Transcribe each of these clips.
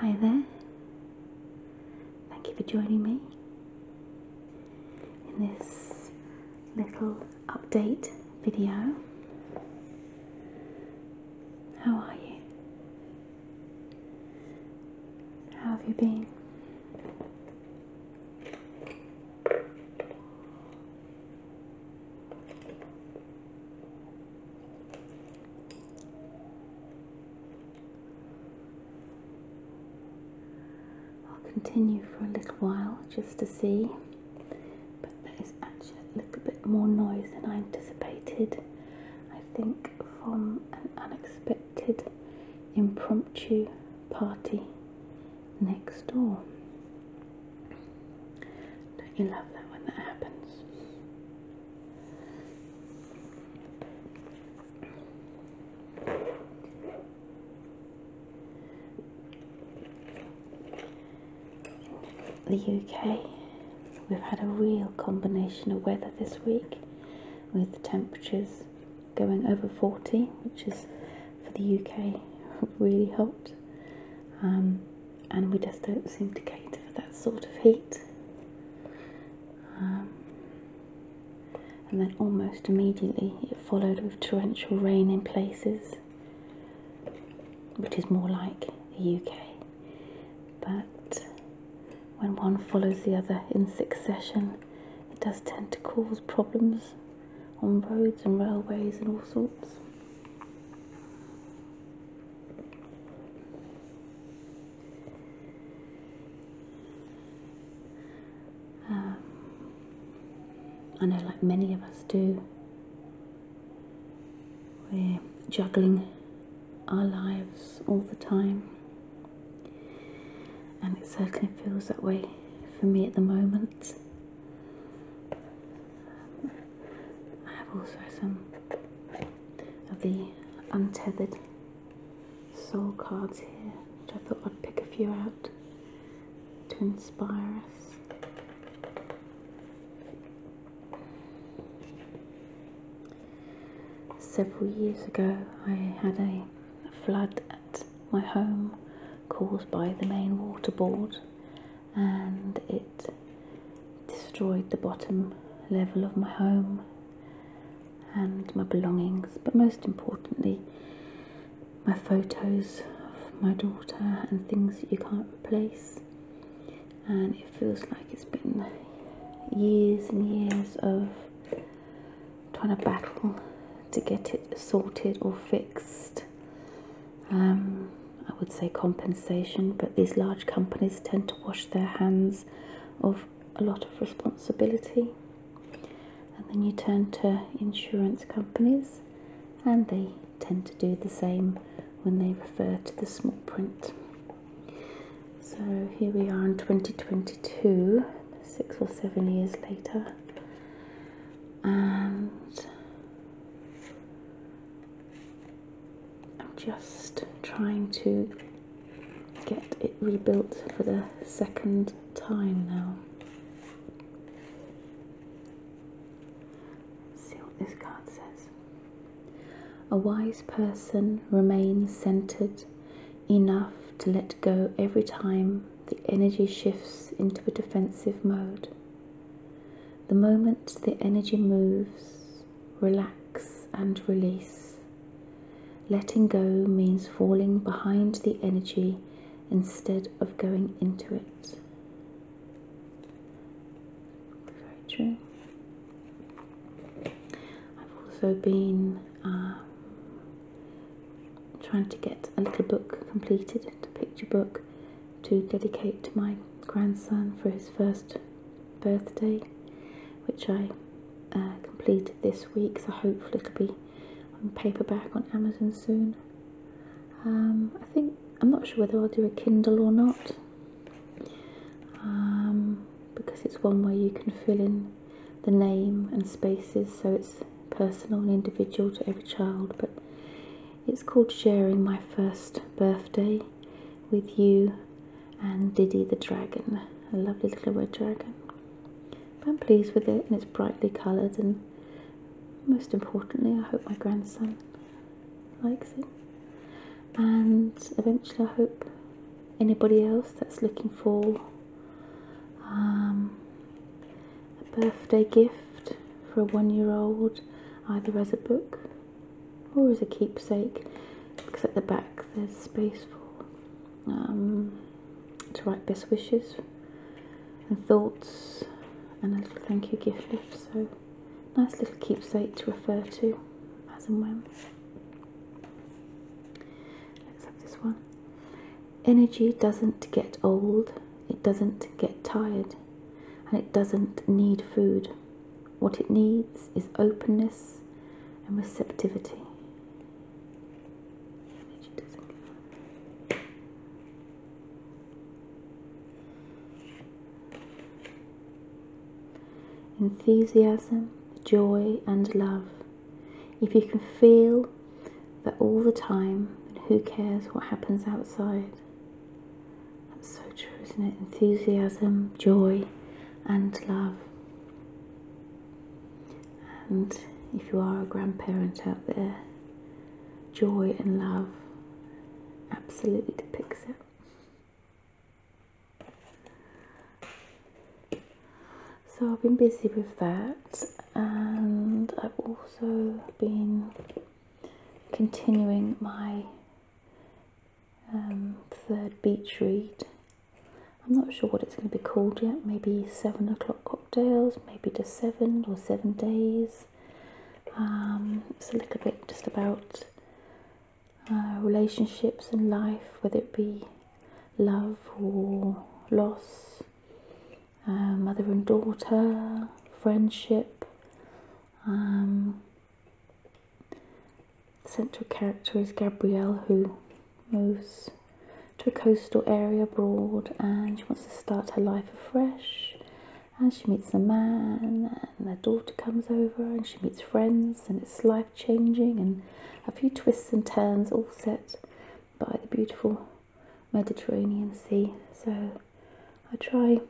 Hi there. Thank you for joining me in this little update video. How are you? How have you been? I'll continue for a little while just to see, but there's actually a little bit more noise than I anticipated. I think from an unexpected impromptu party next door. Don't you love that when that happens? The UK, we've had a real combination of weather this week with temperatures going over 40, which is for the UK really hot, um, and we just don't seem to cater for that sort of heat. Um, and then almost immediately it followed with torrential rain in places, which is more like the UK. But when one follows the other in succession, it does tend to cause problems on roads and railways and all sorts. Um, I know, like many of us do, we're juggling our lives all the time, and it certainly feels that way for me at the moment. I have also some of the untethered soul cards here, which I thought I'd pick a few out to inspire us. Several years ago, I had a flood my home caused by the main water board and it destroyed the bottom level of my home and my belongings but most importantly my photos of my daughter and things that you can't replace and it feels like it's been years and years of trying to battle to get it sorted or fixed. Um, I would say compensation, but these large companies tend to wash their hands of a lot of responsibility. And then you turn to insurance companies, and they tend to do the same when they refer to the small print. So here we are in 2022, six or seven years later, and I'm just trying to get it rebuilt for the second time now. see what this card says. A wise person remains centered enough to let go every time the energy shifts into a defensive mode. The moment the energy moves, relax and release. Letting go means falling behind the energy instead of going into it. Very true. I've also been um, trying to get a little book completed, a picture book to dedicate to my grandson for his first birthday, which I uh, completed this week. So hopefully it'll be on paperback on Amazon soon. Um, I think I'm not sure whether I'll do a Kindle or not um, because it's one way you can fill in the name and spaces so it's personal and individual to every child. But it's called Sharing My First Birthday with You and Diddy the Dragon, a lovely little red dragon. I'm pleased with it and it's brightly coloured and most importantly I hope my grandson likes it and eventually I hope anybody else that's looking for um, a birthday gift for a one year old, either as a book or as a keepsake, because at the back there's space for um, to write best wishes and thoughts and a little thank you gift. So, nice little keepsake to refer to as and when. Let's have this one. Energy doesn't get old, it doesn't get tired, and it doesn't need food. What it needs is openness and receptivity. enthusiasm, joy, and love if you can feel that all the time, then who cares what happens outside? That's so true, isn't it? Enthusiasm, joy, and love. And if you are a grandparent out there, joy and love absolutely depicts it. So I've been busy with that and I've also been continuing my um, third beach read. I'm not sure what it's going to be called yet, maybe 7 o'clock cocktails, maybe just 7 or 7 days. Um, it's a little bit just about uh, relationships and life, whether it be love or loss, uh, mother and daughter, friendship, The um, central character is Gabrielle who moves to a coastal area abroad and she wants to start her life afresh and she meets a man and their daughter comes over and she meets friends and it's life changing and a few twists and turns, all set by the beautiful Mediterranean Sea. So I try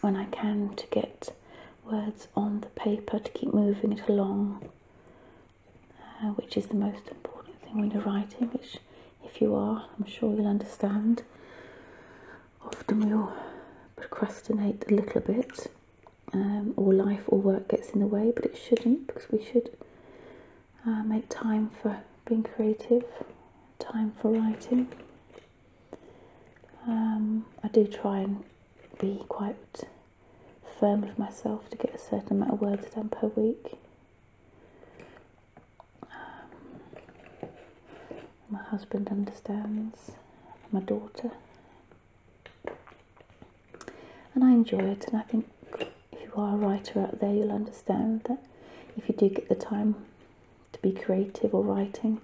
when I can to get words on the paper to keep moving it along, uh, which is the most important thing when you're writing, which if you are, I'm sure you'll understand. Often we'll procrastinate a little bit um, or life or work gets in the way, but it shouldn't because we should uh, make time for being creative, time for writing. Um, I do try and be quite firm with myself to get a certain amount of words done per week. Um, my husband understands, my daughter and I enjoy it, and I think if you are a writer out there, you'll understand that if you do get the time to be creative or writing,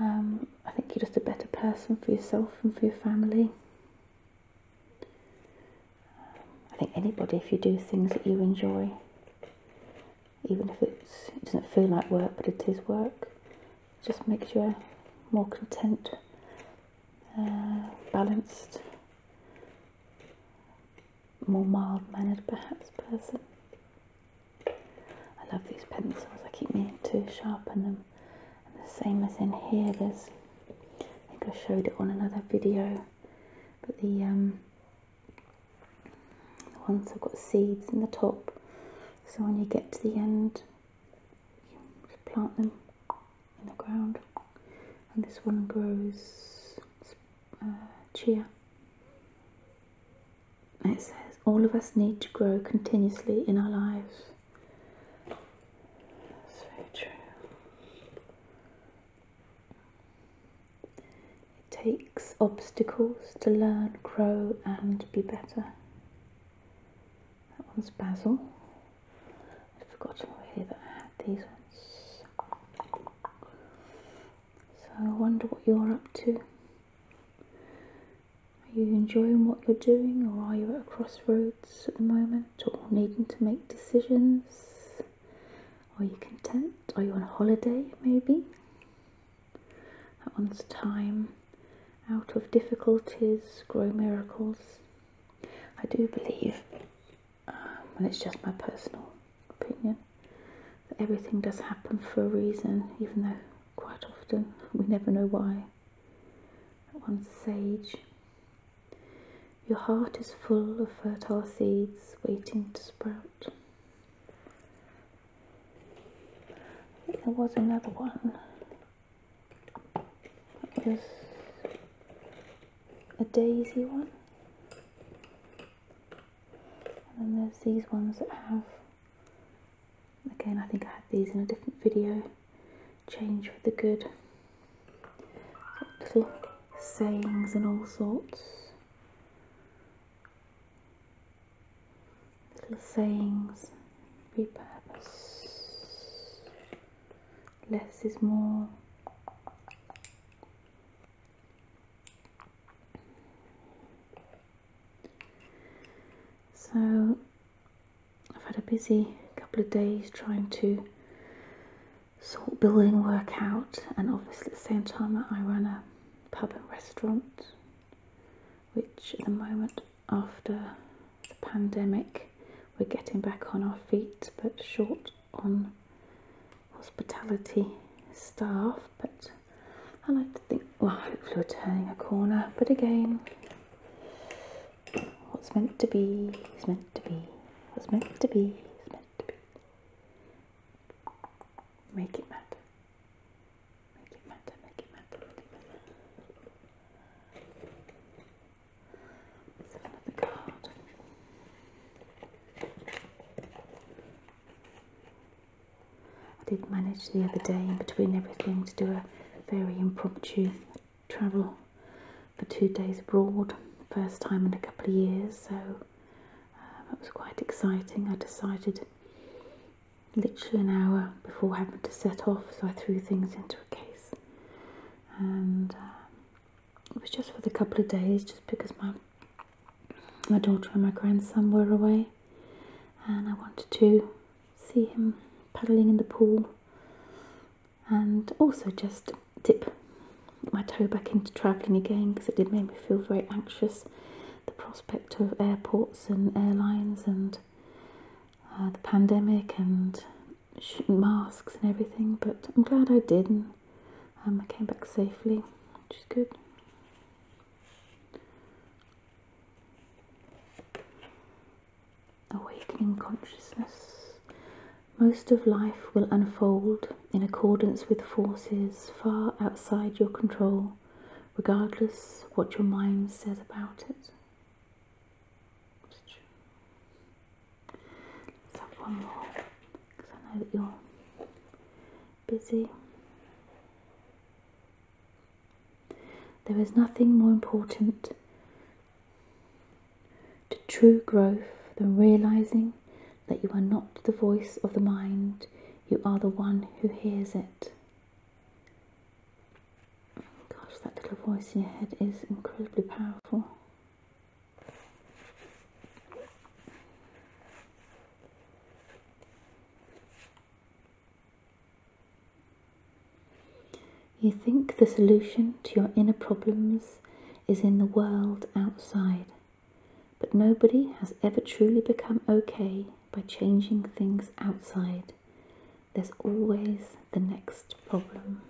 um, I think you're just a better person for yourself and for your family. I think anybody, if you do things that you enjoy, even if it doesn't feel like work, but it is work, just makes you more content, uh, balanced, more mild-mannered perhaps person. I love these pencils, I keep meaning to sharpen them. And the same as in here, there's, I think I showed it on another video, but the, um, the ones have got seeds in the top so when you get to the end, you plant them in the ground, and this one grows uh, It says, all of us need to grow continuously in our lives. That's very true. It takes obstacles to learn, grow, and be better. That one's basil. I've forgotten over that I had these ones. So I wonder what you're up to. Are you enjoying what you're doing or are you at a crossroads at the moment or needing to make decisions? Are you content? Are you on holiday maybe? At one's time, out of difficulties grow miracles. I do believe, um, and it's just my personal opinion, that everything does happen for a reason, even though quite often we never know why. At one's sage, your heart is full of fertile seeds waiting to sprout. There was another one that was a daisy one, and then there's these ones that have again. I think I had these in a different video. Change for the good, little sayings and all sorts little sayings, repurpose. Less is more. So I've had a busy couple of days trying to sort building work out, and obviously at the same time I run a pub and restaurant which at the moment, after the pandemic, we're getting back on our feet but short on hospitality staff. But I like to think, well, hopefully, we're turning a corner, but again, what's meant to be is meant to be, what's meant to be is meant to be. Make it matter make it matter, make it matter, make another card. I did manage the other day in between everything to do a very impromptu travel for two days abroad, first time in a couple of years, so um, it was quite exciting. I decided literally an hour before having to set off, so I threw things into a case. And uh, it was just for the couple of days, just because my my daughter and my grandson were away, and I wanted to see him paddling in the pool, and also just dip my toe back into travelling again because it did make me feel very anxious prospect of airports and airlines and uh, the pandemic and masks and everything, but I'm glad I did and um, I came back safely, which is good. Awakening consciousness. Most of life will unfold in accordance with forces far outside your control, regardless what your mind says about it. Let's have one more, because I know that you're busy. There is nothing more important to true growth than realizing that you are not the voice of the mind, you are the one who hears it. Gosh, that little voice in your head is incredibly powerful. You think the solution to your inner problems is in the world outside. But nobody has ever truly become okay by changing things outside. There's always the next problem.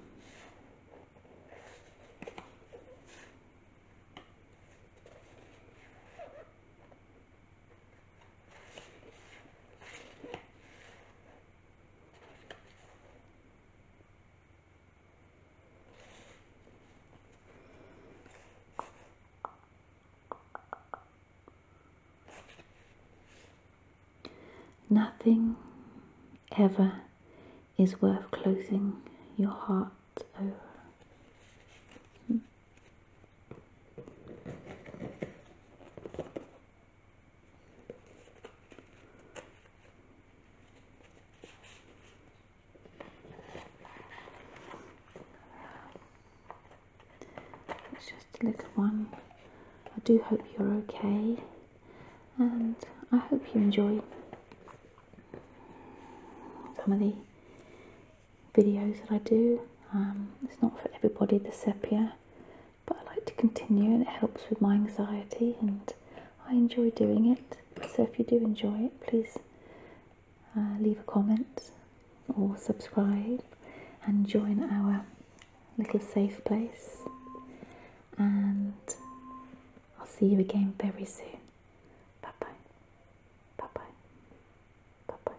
Nothing ever is worth closing your heart over. It's just a little one. I do hope you're okay and I hope you enjoy some of the videos that I do. Um, it's not for everybody the sepia, but I like to continue and it helps with my anxiety and I enjoy doing it. So if you do enjoy it, please uh, leave a comment or subscribe and join our little safe place. And I'll see you again very soon. Bye bye. Bye bye. Bye bye.